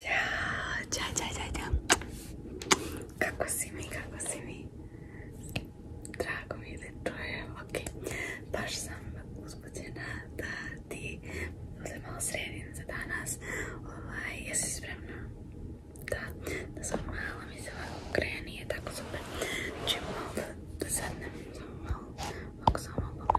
Ćao, ćao, ćao, ćao, ćao. Kako si mi, kako si mi? Drago mi je da okej Baš sam uzbuđena da ti uzem malo sredim za danas. Ovaj, jesi spremna? Da, da sam malo mi se je tako super. Znači da, da nam samo samo malo,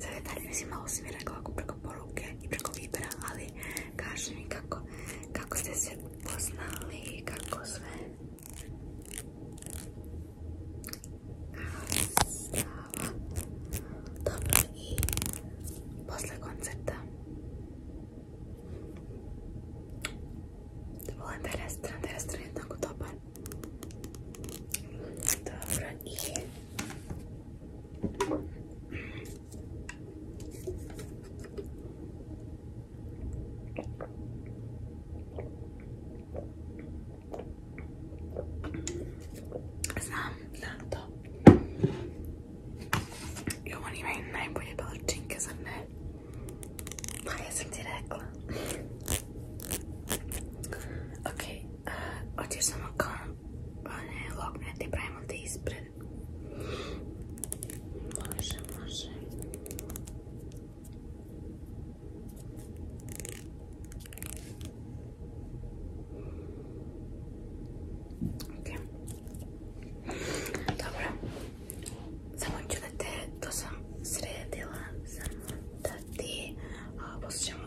Za detaljno si malo sam mi ako preko poruke i preko Vibera, ali kaže mi kako, kako ste se poznali kako sve. Stava. Dobro i posle koncerta. Volim taj restoran, taj restoran je tako dobar. Dobro i... Samlanto io rimango in quelle dolci che sono vai a sentire ecco ok uh, oggi sono con ne, loknete, pravimo te ispred. Može, može. Ok. Dobro. Samo ću da te, to sam sredila, samo da ti poslušamo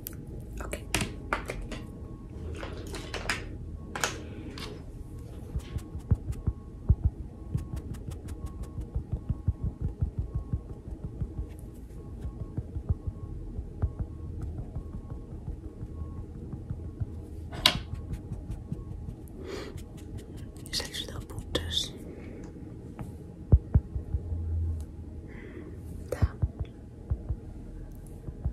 Okay. Sexo da putas. Tá.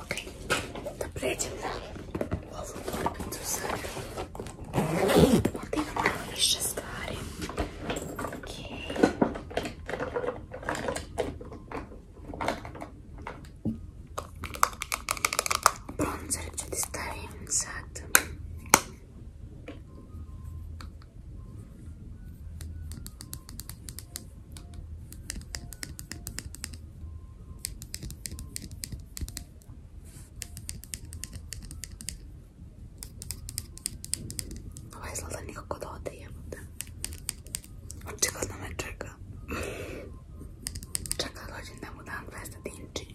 Окей. Добредем на ovu torbicu sa ovdje imamo više stvari. Okej. Bronzer ću ti stavim sad. Ovo izgleda nikako da ode jebote. Očigledno me čeka. Čeka dođem da mu dam 200 dinči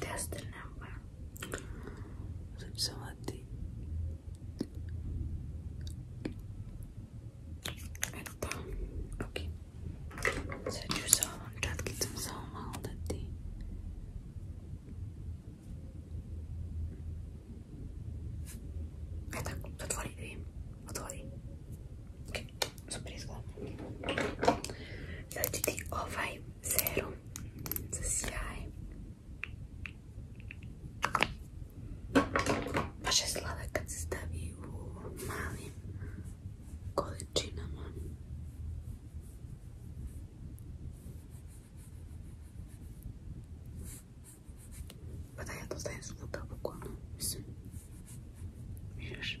that's the number so it's something اوكي سجوزة ونرجع تكي تمسهم هذا الدي هذاك تطفالي دي تطفالي اوكي surpriză. L-a 0 să sijaj. kad se stavi u malim količinama. Pa da svuda, bukvalno, mislim. Vidiš?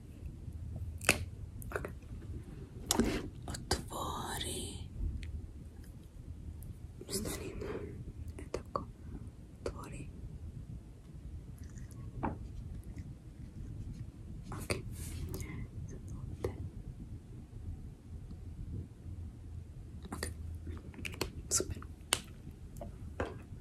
Otwory. Stanina. Etako. Otwory. Okay. Okay. Super.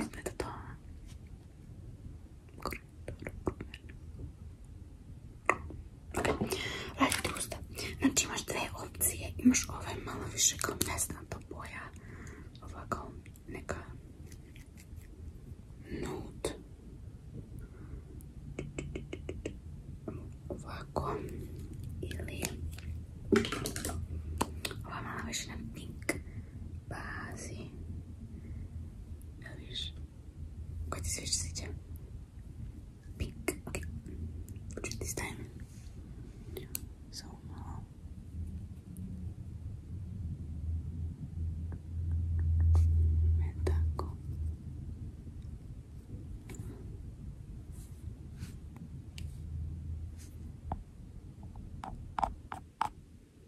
Izgleda to usta. Znači imaš dve opcije. Imaš ovaj malo više kao to boja. Ovako, ovako neka nude. Ovako. Ili ova malo više na pink. base. Nariz. Quite this is it, yeah. Pink. Okay. this time. So uh, now.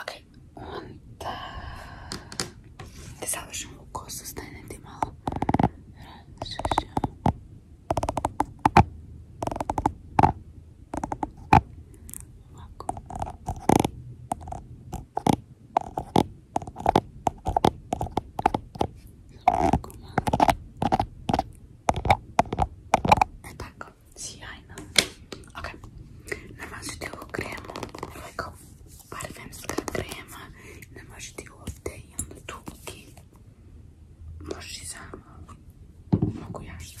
Okay, und äh, das habe ich schon gekostet, das nehmt ihr mal tak makeup. See, I know. Okay. Namazite ovu kremu. Ovako parfemska krema. Namazite ju ovdje i onda tu i možeš i sama. Mogu ja šta.